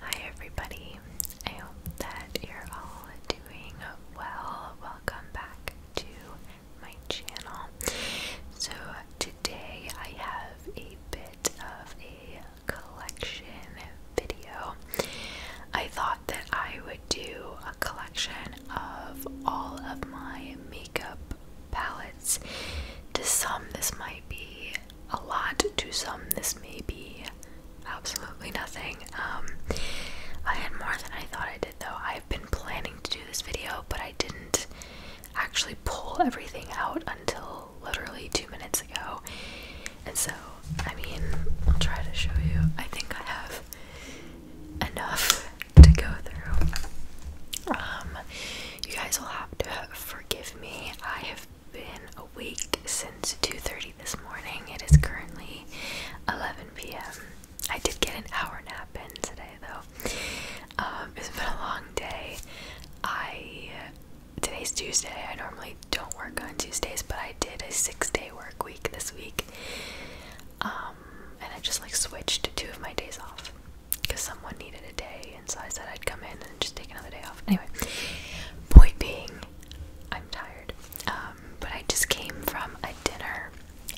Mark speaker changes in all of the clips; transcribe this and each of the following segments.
Speaker 1: Hi, everybody. I hope that you're all doing well. Welcome back to my channel. So, today I have a bit of a collection video, I thought that I would do a collection of all of my makeup palettes. To some, this might be a lot, to some, this may be absolutely nothing. Um, I had more than I thought I did, though. I've been planning to do this video, but I didn't actually pull everything out until literally two minutes ago. And so, I mean, I'll try to show you. I think I have enough to go through. Um, you guys will have to forgive me. I have been awake since 2:30 this morning. It is currently 11 p.m. I did get an hour nap in today, though. Um, it's been a long day. I today's Tuesday. I normally don't work on Tuesdays, but I did a six day work week this week. Um, and I just like switched two of my days off because someone needed a day, and so I said I'd come in and just take another day off. Anyway, boy, being, I'm tired. Um, but I just came from a dinner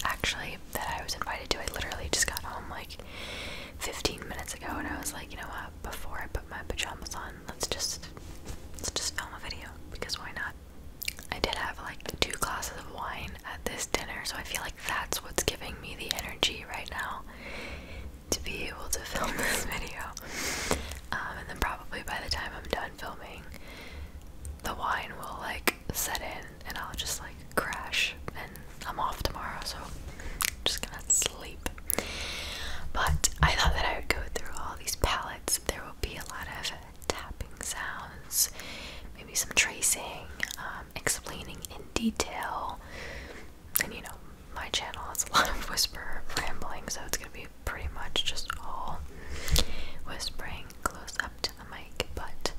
Speaker 1: actually that I was invited to. I literally just got home like 15 minutes ago, and I was like, you know what, before I put my pajamas on, Let's just let's just film a video because why not? I did have like two glasses of wine at this dinner, so I feel like that's what's giving me the energy right now to be able to film this video. Um, and then probably by the time I'm done filming, the wine will like set in and I'll just like crash and I'm off tomorrow, so I'm just gonna sleep. But I thought that I would go through all these palettes. There will be a lot of tapping sounds, maybe some tracing, um, explaining in detail. And you know, my channel has a lot of whisper rambling, so it's gonna be pretty much just all whispering close up to the mic. But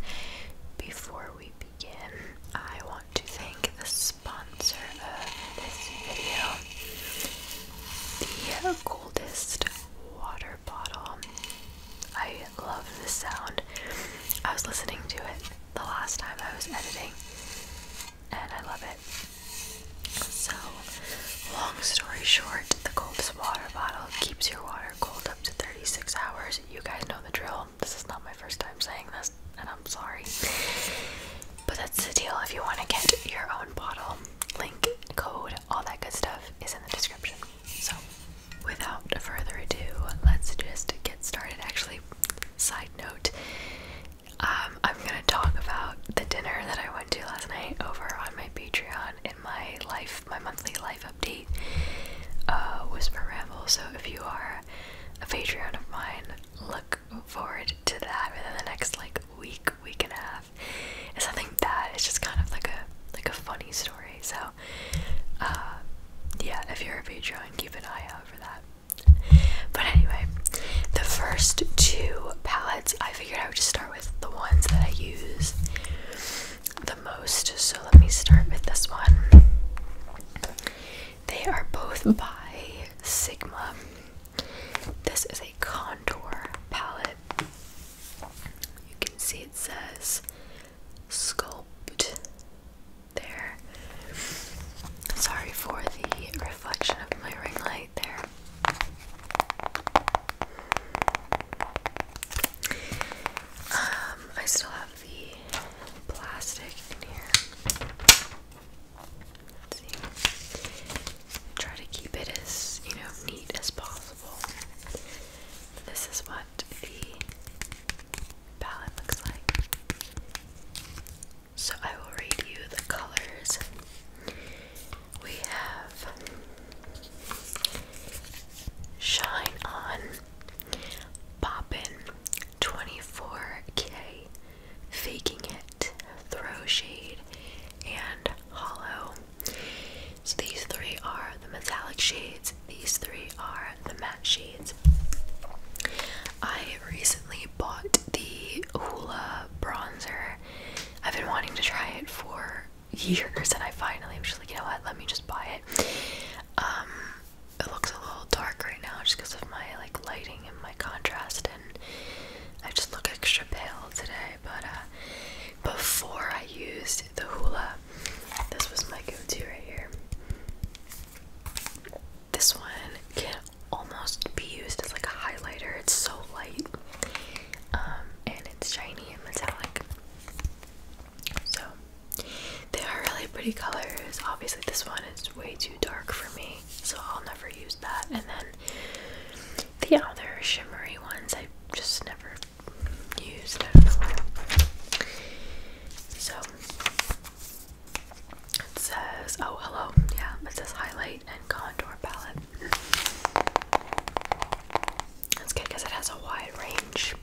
Speaker 1: before we begin, I want to thank the spot sponsor of this video, the coldest water bottle. I love this sound. I was listening to it the last time I was editing, and I love it. So, long story short, the coldest water bottle keeps your water cold up to 36 hours. You guys know the drill. This is not my first time saying this, and I'm sorry. But that's the deal. If you want to get your own bottle, link, code, all that good stuff is in the description. So, without further ado, let's just get started. Actually, side note, um, I'm gonna talk about the dinner that I went to last night over on my Patreon in my life, my monthly life update, uh, Whisper Ramble. So, if you are a Patreon of mine, look forward to that within the next like week, week and a half. So I think that is just kind of like a like a funny story. So, uh, yeah, if you're a Patreon, keep an eye out for that. But anyway, the first two palettes, I figured I would just start with the ones that I use the most. So let me start with this one. They are both by Sigma. This is a contour palette. You can see it says sculpt there. Sorry for the reflection of my ring light there. Um, I still have the plastic in here. Let's see. Try to keep it as, you know, neat as possible. This is what the palette looks like. So I will read you the colors. We have Shine On Poppin 24K faking it, throw shade, and hollow. So these three are the metallic shades, these three are the matte shades. I recently bought the Hoola bronzer. I've been wanting to try it for years and I finally was just like, you know what, let me just buy it. Um, it looks a little dark right now just because of my like lighting and my contrast I just look extra pale today. But uh, before I used the Hoola, this was my go-to right here. This one can almost be used as like a highlighter. It's so light, um, and it's shiny and metallic. So they are really pretty colors. Obviously, this one is way too dark for me so I'll never use that. And then the other shimmery ones I just never used. So it says, oh, hello. Yeah, it says highlight and contour palette. That's good because it has a wide range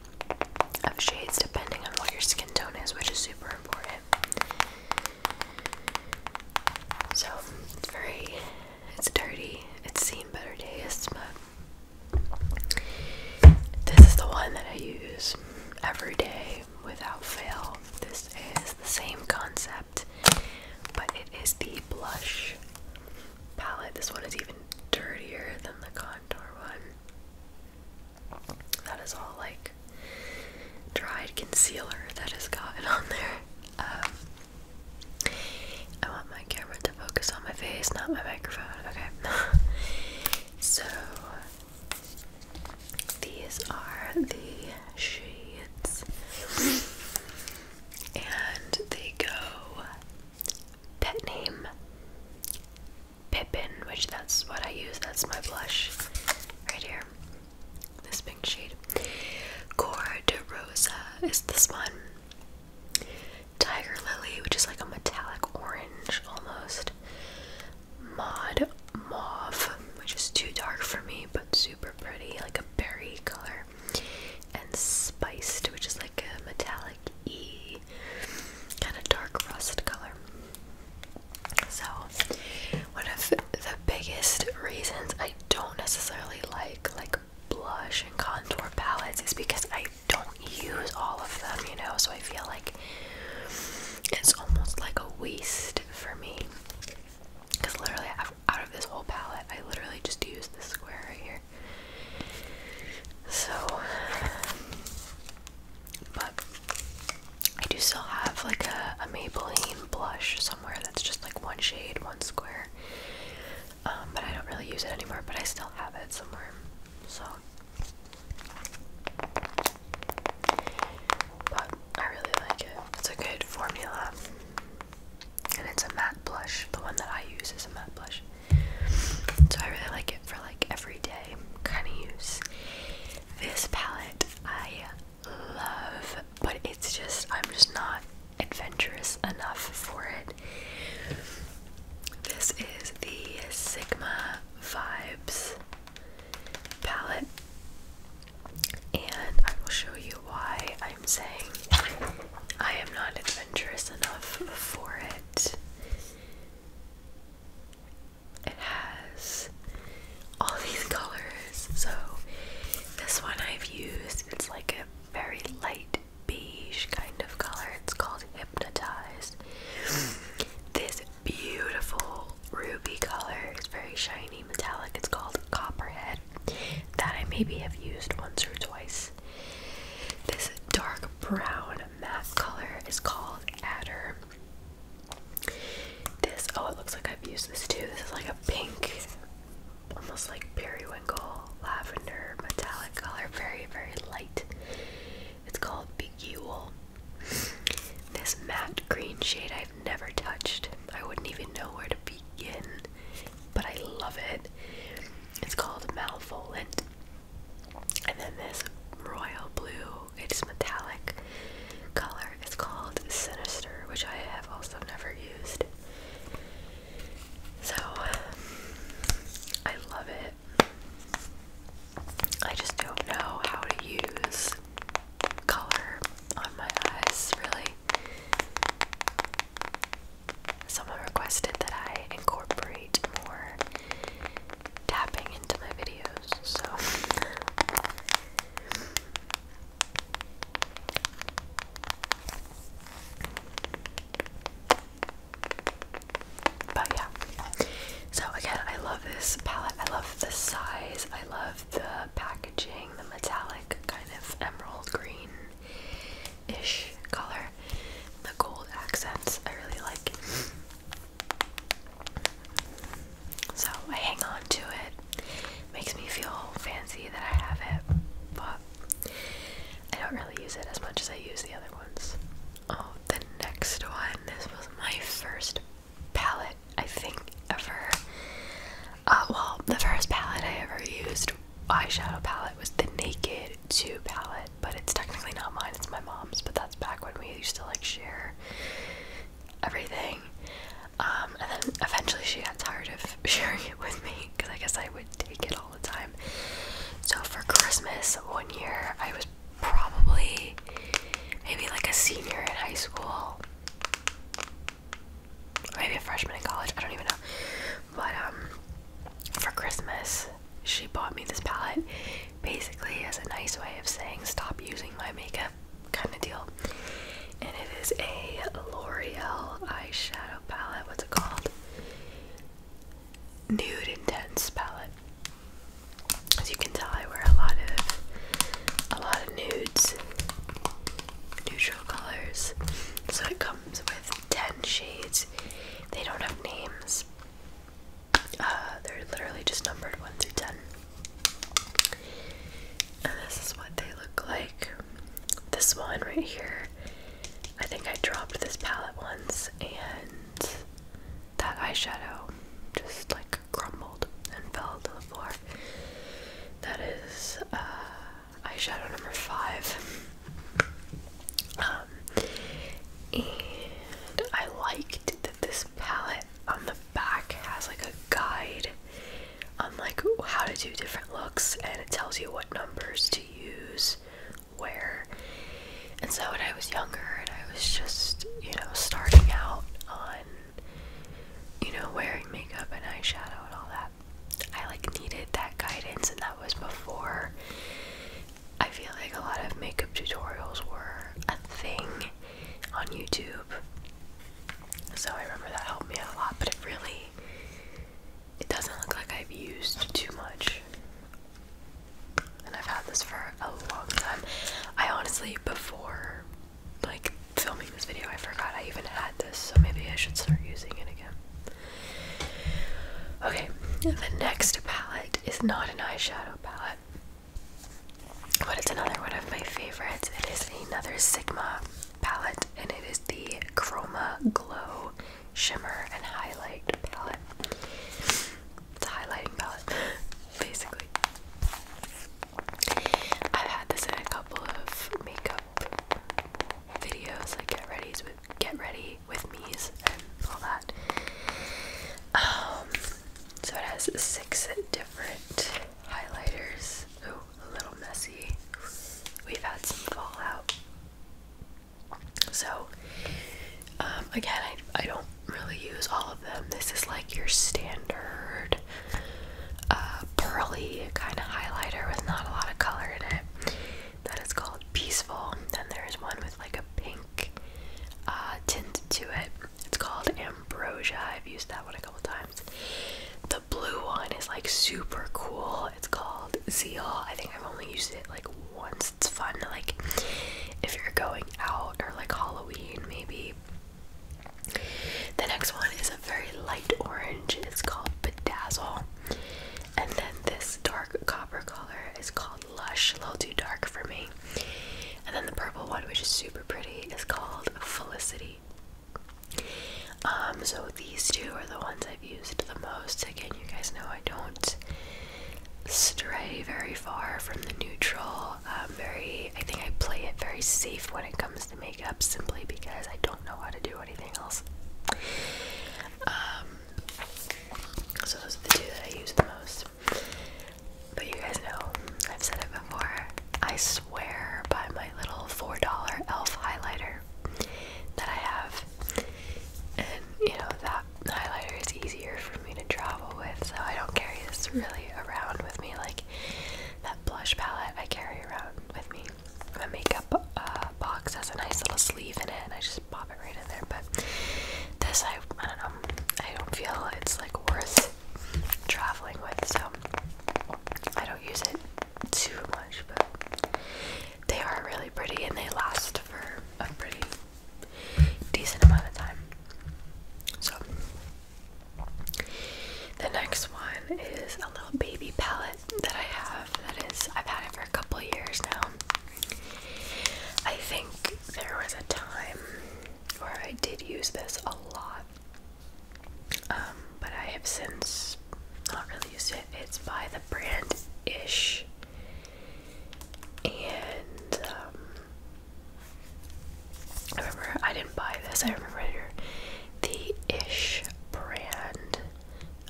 Speaker 1: of shades depending on what your skin tone is, which is super important. So it's very, it's dirty. It's seen better days, but this is the one that I use every day without fail. This is the same concept, but it is the blush palette. This one is even dirtier than the contour one. That is all like dried concealer that has gotten on there. Um, I want my camera to focus on my face, not my microphone. Okay. so these are the shades, and they go pet name Pippin, which that's what I use. That's my blush right here. This pink shade. Cor de Rosa is this one. Tiger Lily, which is like a metallic orange almost. Mod Mauve, which is too dark for me, but super pretty, like a berry color. And Spiced, which is like a metallic E, kind of dark rust color. So, one of the biggest reasons I don't necessarily like like blush and contour palettes is because I don't use all of them, you know. So I feel like it's almost like a waste for me. Cause literally, I've, out of this whole palette, I literally just use this square right here. So, but I do still have like a, Maybelline blush somewhere that's just like one shade, one square. Um, but I don't really use it anymore, but I still have it somewhere. So, but I really like it. It's a good formula. And it's a matte blush. The one that I use is a matte blush. So I really like it for like everyday kind of use. This palette I love, but it's just, I'm just not adventurous enough for it. This is the Sigma Vibes palette, and I will show you why I'm saying I am not adventurous enough for it. It has all these colors. So this one I've used, it's like a very light beige kind of color. It's called Hypnotized. This beautiful ruby color is very shiny metallic. It's called Copperhead. That I maybe have used once or twice. This dark brown matte color is called Adder. This, oh, it looks like I've used this too. This is like a pink, almost like periwinkle, lavender, metallic color. Very, very light. It's called Bejewel. This matte green shade I've never touched. I wouldn't even know where to begin, but I love it. It's called Malvolent. And then this royal blue it's metallic color. It's called Sinister, which I have also never used. So I love it. I just don't know how to use color on my eyes, really. Someone requested that I incorporate more tapping into my videos, so But yeah. So again, I love this palette. I love the size. I love the packaging, the metallic kind of emerald green ish color. The gold accents I really like. So I hang on to it. Makes me feel fancy that I have it, but I don't really use it as much as I use the other ones. Oh, the next one. This was my first palette, I think, ever. Uh, well, the first palette I ever used, eyeshadow palette, was the Naked 2 palette, but it's technically not mine, it's my mom's, but that's back when we used to like share everything. Um, and then eventually she got tired of sharing it with me because I guess I would take it all the time. So for Christmas one year, I was probably maybe like a senior in high school, maybe a freshman in college, I don't even know. But um, for Christmas, she bought me this palette basically as a nice way of saying stop using my makeup kind of deal. And it is a L'Oreal eyeshadow palette. What's it called? Nude Intense palette. As you can tell, I wear a lot of a lot of nudes, neutral colors. So it comes with ten shades. They don't have names. Uh, they're literally just numbered 1 through 10. And this is what they look like. This one right here, I think I dropped this palette once and that eyeshadow just like crumbled and fell to the floor. That is uh, eyeshadow number five. Um, and I liked this palette on the back has like a guide on like how to do different looks and it tells you what numbers to use where. And so when I was younger and I was just, you know, starting out on you know, wearing makeup and eyeshadow and all that. I like needed that guidance and that was before I feel like a lot of makeup tutorials were a thing on YouTube. So I remember that helped me out a lot, but it really it doesn't look like I've used too much. And I've had this for a long time. I honestly before like filming this video I forgot I even had this, so maybe I should start using it again. Okay, the next palette is not an eyeshadow palette. But it's another one of my favorites. It is another Sigma palette, and it is the Chroma Glow Shimmer and Highlight palette. It's a highlighting palette, basically. I've had this in a couple of makeup videos, like get ready with get ready with me's and all that. Um, so it has six different highlighters. Oh, a little messy. We've had some fallout. So, um, again, I, I don't really use all of them. This is like your standard uh, pearly kind of highlighter with not a lot of color in it. That is called Peaceful. Then there's one with like a pink pink uh, tint to it. It's called Ambrosia. I've used that one a couple times. The blue one is like super cool. It's called Zeal. I think I've only used it like once. It's fun to like if you're going out or like Halloween maybe. The next one is a very light orange. It's called Bedazzle. And then this dark copper color is called Lush, a little too dark for me. And then the purple one, which is super pretty, is called Felicity. Um, so these two are the ones I've used the most. Again, you guys know I don't stray very far from the neutral. Um, very, I think I play it very safe when it comes to makeup, simply because I don't know how to do anything else. Um, so those are the two that I use the most. But you guys know, I've said it before, I swear by my little $4 e.l.f. highlighter that I have. And you know, that highlighter is easier for me to travel with, so I don't carry this really around with me. Like that blush palette I carry around with me. My makeup uh, box has a nice little sleeve in it, and I just pop it right in there. But this, I, I don't know. I don't feel it's like worth traveling with, so I don't use it too much. But they are really pretty, and they last for a pretty decent amount of time. So the next one is a little baby palette that I have. That is, I've had it for a couple years now. I think there was a time where I did use this a lot, um, but I have since not really used it. It's by the brand Ish, and um, I remember I didn't buy this. I remember the Ish brand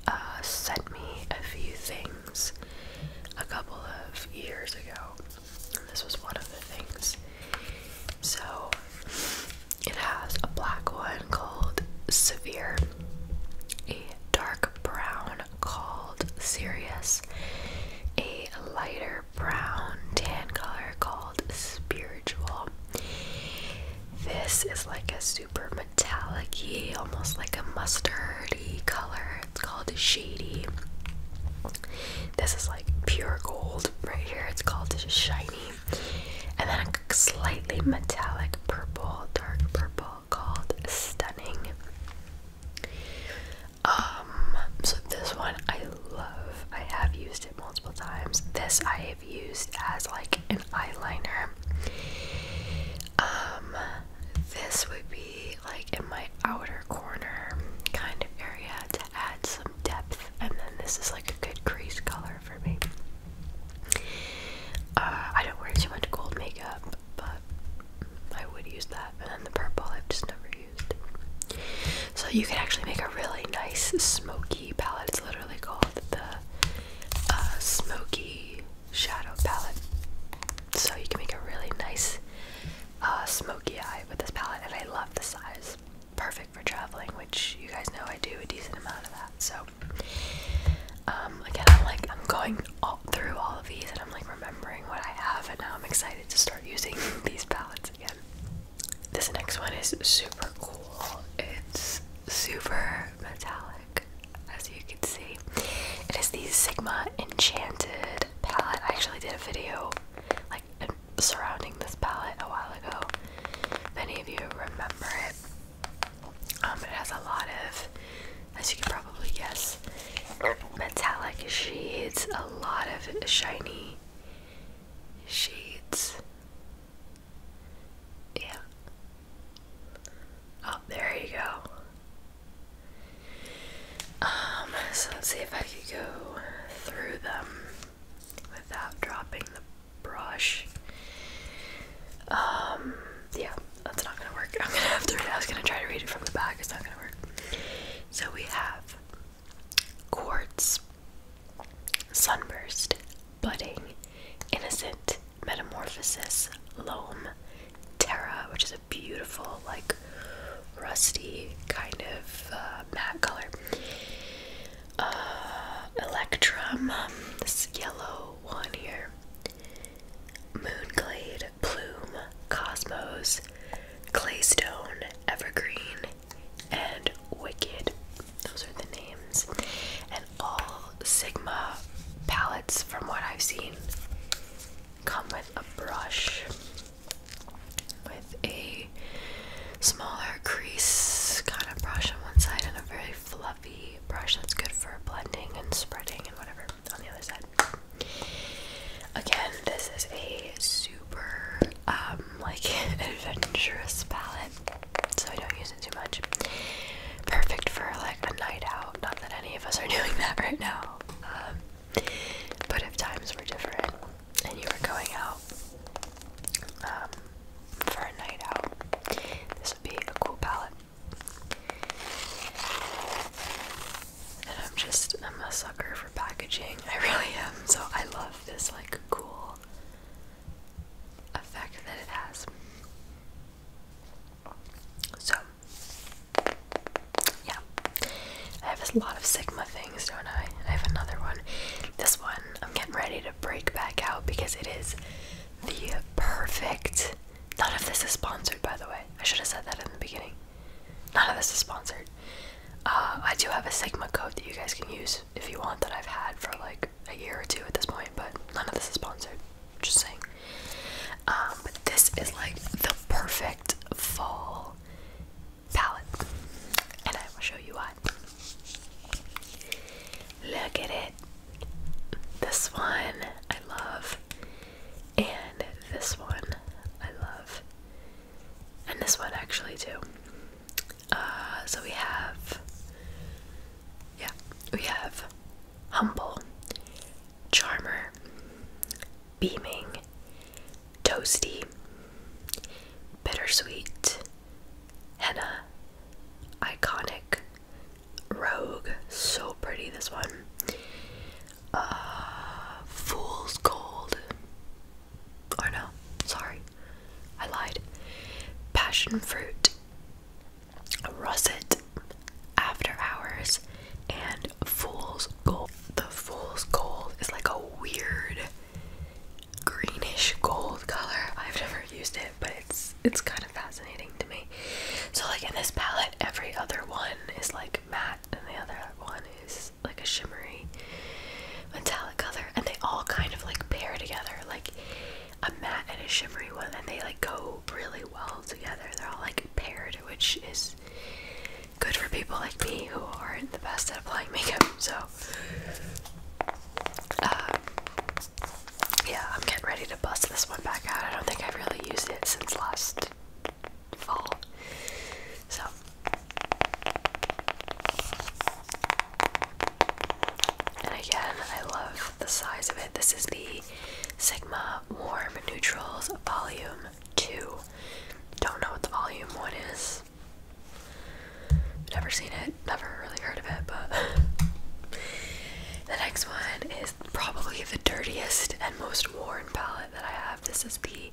Speaker 1: uh, sent me a few things a couple of years ago. this was one of the things. So it has a black one called Severe, a dark brown called Serious, a lighter brown tan color called Spiritual. This is like a super metallic almost like a mustardy color. It's called Shady. This is like pure gold right here. It's called Shiny. And then a slightly metallic purple, dark purple called Stunning. Um, so this one I love. I have used it multiple times. This I have used as like an eyeliner. Um, this would be like in my outer corner kind of area to add some depth, and then this is like a good crease color for me. Uh, I don't wear too much gold makeup, but I would use that, and the purple I've just never used. So you can actually make a really nice smoky palette. It's literally called the uh, smoky shadow palette. So you can make a really nice uh, smoky eye with this palette, and I love the size. Perfect for traveling, which you guys know I do a decent amount of that. So um, again, I'm like I'm going through all of these, and I'm like remembering what I have, and now I'm excited to start using these palettes again. This next one is super cool. It's super metallic, as you can see. It is the Sigma Enchanted palette. I actually did a video like surrounding this palette a while ago. Many of you remember it, um, it has a lot of, as you can probably guess, metallic shades. A lot of shiny shades. Yeah. Oh, there you go. Um, so let's see if I could go through them without dropping the brush. Um, yeah, that's not gonna work. I'm gonna have to I was gonna try to read it from the back, it's not gonna work. So we have quartz, sunburst, budding, innocent, metamorphosis, loam, Terra, which is a beautiful, like rusty kind of uh, matte color. Uh, Electrum, this yellow one here. Moonglade, Plume, Cosmos, Claystone, Evergreen, and Wicked. Those are the names all Sigma palettes, from what I've seen, come with a brush with a smaller crease kind of brush on one side and a very fluffy brush that's good for blending and spreading and whatever on the other side. Again, this is a super um, like adventurous palette, so I don't use not too much. Perfect for like a night out. Not that any of us are doing that right now. Um, but if times were different and you were going out um, for a night out, this would be a cool palette. And I'm just, I'm a sucker for packaging. I really am. So I love this like cool effect that it has. So, yeah. I have a lot of Sigma things, don't I? I have another one. This one, I'm getting ready to break back out because it is the perfect. None of this is sponsored, by the way. I should have said that in the beginning. None of this is sponsored. Uh, I do have a Sigma code that you guys can use if you want that I've had for like a year or two at this point, but none of this is sponsored. Just saying. Um, but this is like the perfect fall palette, and I will show you why. Look at it. This one I love, and this one I love, and this one actually too. Uh, so we have yeah, we have humble, charmer, beaming, toasty, bittersweet, henna, iconic, rogue. So pretty, this one. Uh, fool's gold. Or oh, no, sorry, I lied. Passion fruit, Russet, After Hours, and Fool's Gold. The Fool's Gold is like a weird greenish gold color. I've never used it, but it's it's kind of fascinating to me. So like in this palette, every other one is like matte, and the other one is like a shimmery metallic color, and they all kind of like pair together. Like a matte and a shimmery one, and they like go really well together. They're all like paired, which is good for people like me who aren't the best at applying makeup. So, uh, yeah, I'm getting ready to bust this one back out. I don't think I've really used it since last fall. So. And again, I love the size of it. This is the Sigma Warm Neutrals Volume 2. Don't know what the Volume 1 is. Never seen it, never really heard of it, but. the next one is probably the dirtiest and most worn palette that I have. This is the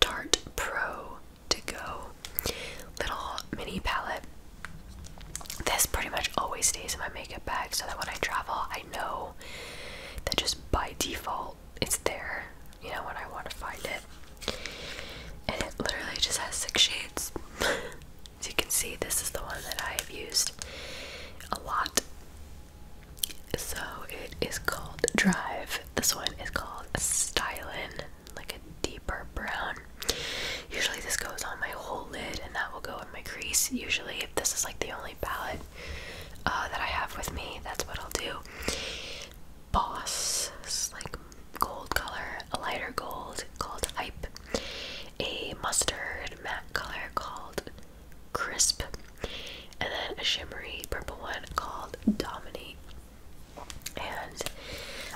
Speaker 1: Dart Pro To Go little mini palette. This pretty much always stays in my makeup bag so that when I travel, I know that just by default it's there, you know, when I want to find it. And it literally just has six shades. As you can see, this is the one that I have used a lot. So it is called Drive. This one is called Stylin, like a deeper brown. Usually this goes on my whole lid and that will go in my crease. Usually if this is like the only palette uh, that I have with me, that's what I'll do. Boss, is like gold color, a lighter gold called Hype, a mustard matte color called Crisp, and then a shimmery purple one called Dominate. And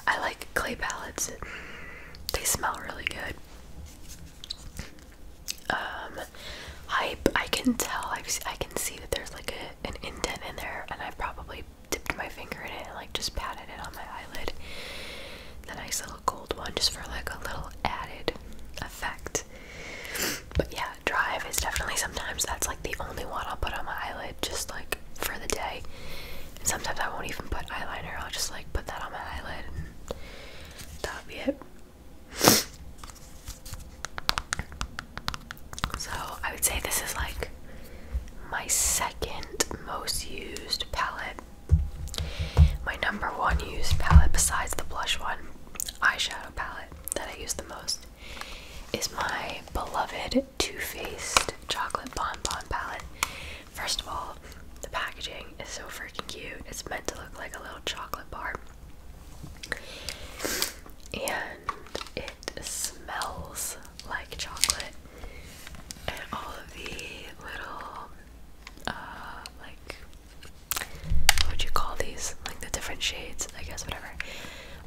Speaker 1: I like clay palettes. They smell really good um I can tell i can see that there's like a an indent in there and I probably dipped my finger in it and like just patted it on my eyelid. The nice little gold one just for like a little added effect. But yeah, Drive is definitely sometimes that's like the only one I'll put on my eyelid just like for the day. And sometimes I won't even put eyeliner, I'll just like put that on my eyelid that would be it. So I would say this is like my second most used palette. My number one used palette besides the blush one, eyeshadow palette that I use the most is my beloved Too Faced Chocolate Bonbon palette. First of all, the packaging is so freaking cute. It's meant to look like a little chocolate bar. And it smells like chocolate. And all of the little, uh, like, what would you call these? Like the different shades, I guess, whatever,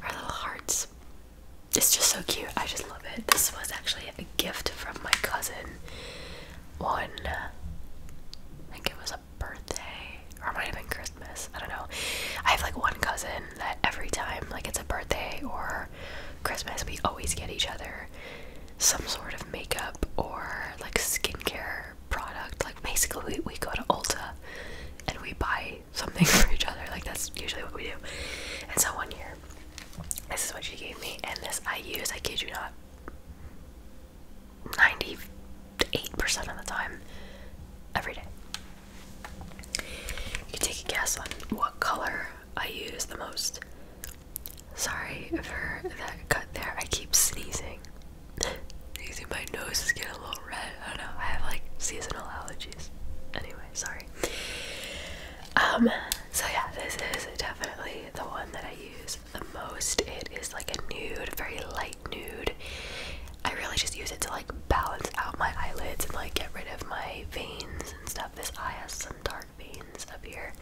Speaker 1: are little hearts. It's just so cute. I just love. This was actually a gift from my cousin One, I think it was a birthday, or it might have been Christmas. I don't know. I have like one cousin that every time, like it's a birthday or Christmas, we always get each other some sort of makeup or like skincare product. Like basically, we, we go to Ulta and we buy something for each other. Like that's usually what we do. And so one year, this is what she gave me, and this I use, I kid you not, 98% of the time, every day. You can take a guess on what color I use the most. Sorry for that cut there, I keep sneezing. Sneezing, my nose is getting a little red, I don't know, I have like seasonal allergies. Anyway, sorry. Um, so yeah, this is definitely the one that I use the most. It is like a nude, very light nude. I really just use it to like balance out my eyelids and like get rid of my veins and stuff. This eye has some dark veins up here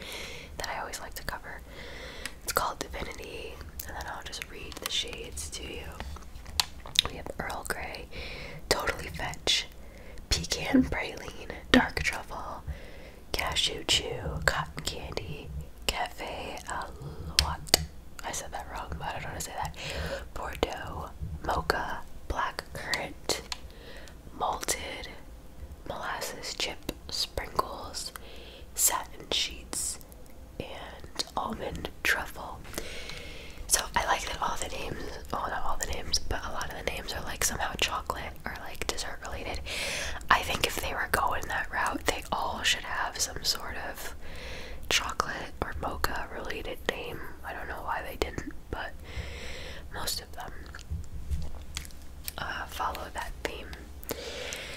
Speaker 1: that I always like to cover. It's called Divinity, and then I'll just read the shades to you. We have Earl Grey, Totally Fetch, pecan praline, dark truffle, cashew chew, cotton candy, cafe alouette. I said that wrong, but I don't want to say that. Bordeaux, mocha, black currant, malted, molasses chip sprinkles, satin sheets, and almond truffle. So I like that all the names Oh well not all the names, but a lot of the names are like somehow chocolate or like dessert related. I think if they were going that route, they all should have some sort of chocolate or mocha related name. I don't know why they didn't, but most of them uh, follow that theme.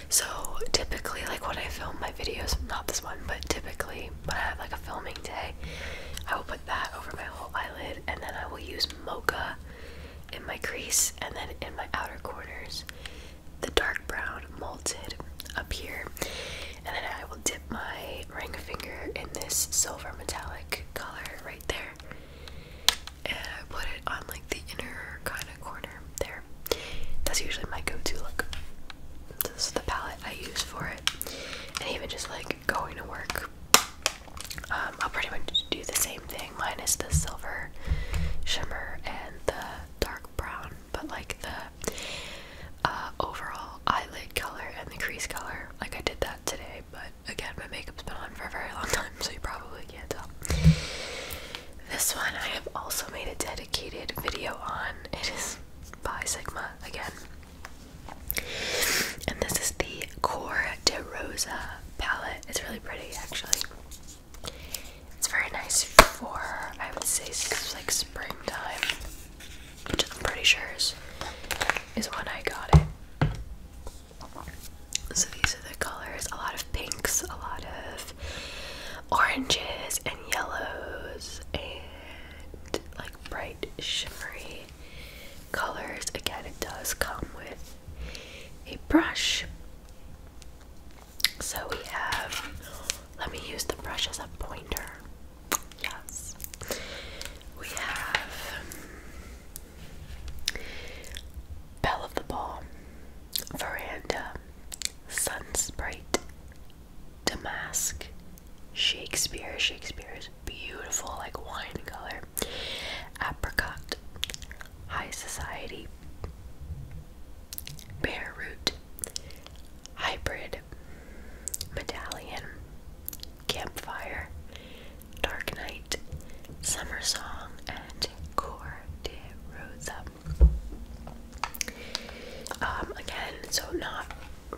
Speaker 1: So typically, like when I film my videos, not this one, but typically when I have like a filming day, I will put that over my whole eyelid, and then I will use mocha in my crease and then in my outer corners. The dark brown molted up here, and then I will dip my ring finger in this silver metallic color right there, and I put it on like the inner kind of corner there. That's usually my go to look. This is the palette I use for it, and even just like going to work. Um, I'll pretty much do the same thing, minus the silver shimmer and the dark brown, but like the uh, overall eyelid color and the crease color. Like I did that today, but again, my makeup's been on for a very long time, so you probably can't tell. This one I have also made a dedicated video on. It is by Sigma again. And this is the Core de Rosa palette. It's really pretty, actually. It's very nice for, I would say, like springtime, which I'm pretty sure is, is when I got it. So these are the colors a lot of pinks, a lot of oranges, and yellows, and like bright shimmery colors. Again, it does come with a brush. So we have, let me use the brush as a pointer. Yes. We have Bell of the Ball, Veranda, Sun Sprite, Damask, Shakespeare. Shakespeare is beautiful, like wine color. Apricot. High Society. Bare Root. Hybrid. Medallion. Campfire. Dark Night. Summer Song. And Cor de Rosa. Um, again, so not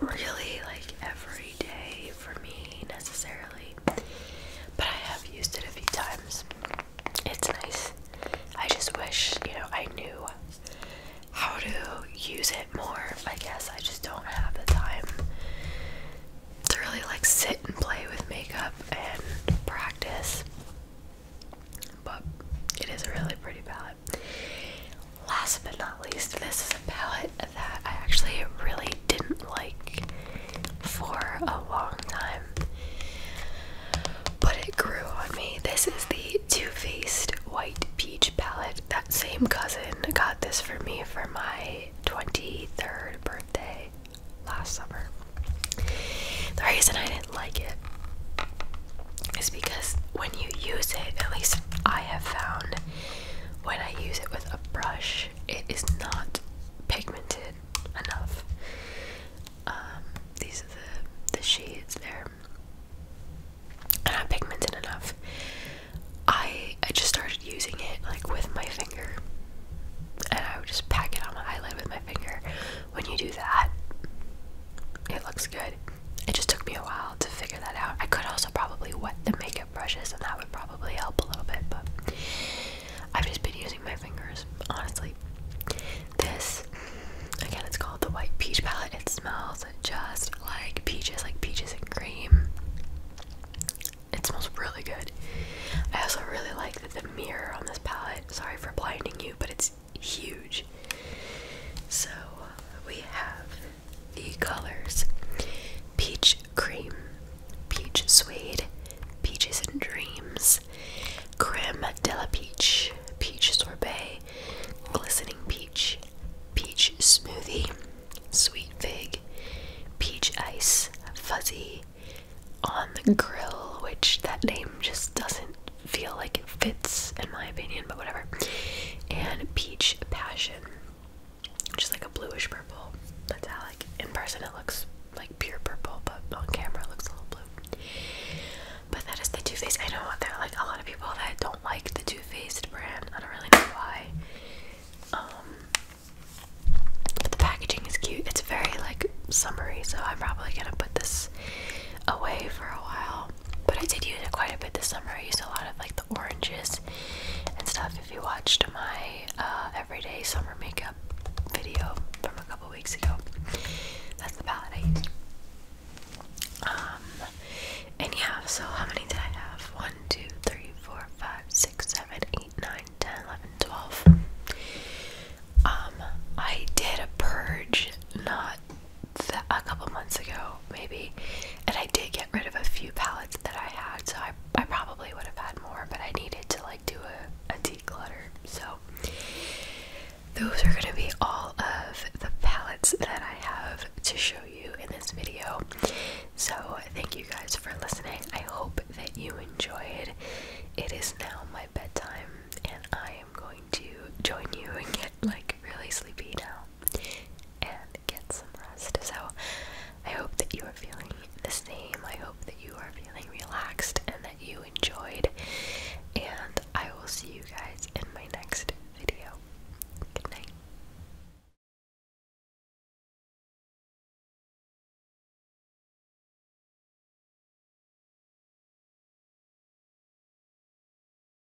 Speaker 1: really like every day for me necessarily, but I have used it a few times. It's nice. I just wish, you know, I knew how to use it more. I guess I just don't have the time to really like sit and play with makeup and practice. But it is really pretty bad last but not least, this is a palette that I actually really didn't like for a long time, but it grew on me. This is the Too Faced White Peach palette. That same cousin got this for me for my 23rd birthday last summer. The reason I didn't like it is because when you use it, at least I have found when I use it with a brush, it is not pigmented enough. Um, these are the, the shades there. not pigmented enough. I I just started using it like with my finger. And I would just pack it on my eyelid with my finger. When you do that, it looks good it just took me a while to figure that out. I could also probably wet the makeup brushes, and that would probably help a little bit, but I've just been using my fingers, honestly. This, again, it's called the White Peach Palette. It smells just like peaches, like peaches and cream. It smells really good. I also really like the, the mirror on this palette. Sorry for blinding you, but it's huge. So we have the colors peach cream, peach suede, peaches and dreams, creme de la peach, peach sorbet, glistening peach, peach smoothie, sweet fig, peach ice, fuzzy, on the grill, which that name just doesn't feel like it fits in my opinion, but whatever, and peach passion foundation, which is like a bluish purple metallic. In person, it looks like pure purple, but on camera, it looks a little blue. But that is the Too Faced. I know there like a lot of people that don't like the Too Faced brand. I don't really know why. Um, but the packaging is cute. It's very like summery, so I'm probably gonna put this away for a while. But I did use it quite a bit this summer. I used a lot of like the oranges and stuff. If you watched my uh, everyday summer makeup video from a couple weeks ago, that's the palette I used. Um, and yeah, so how many did I have? 1, 2, 3, 4, 5, 6, 7, 8, 9, 10, 11, 12. Um, I did a purge not a couple months ago, maybe, and I did get rid of a few palettes that I had, so I, I probably would have had more, but I needed to like do a declutter. So, those are gonna be all of the palettes that I have to show you in this video. So, thank you guys for listening. I hope that you enjoyed. It is now my bedtime, and I am going to join you and get like really sleepy now and get some rest. So, I hope that you are feeling the same. I hope that you are feeling relaxed and that you enjoyed. And I will see you guys in my next video. Good night.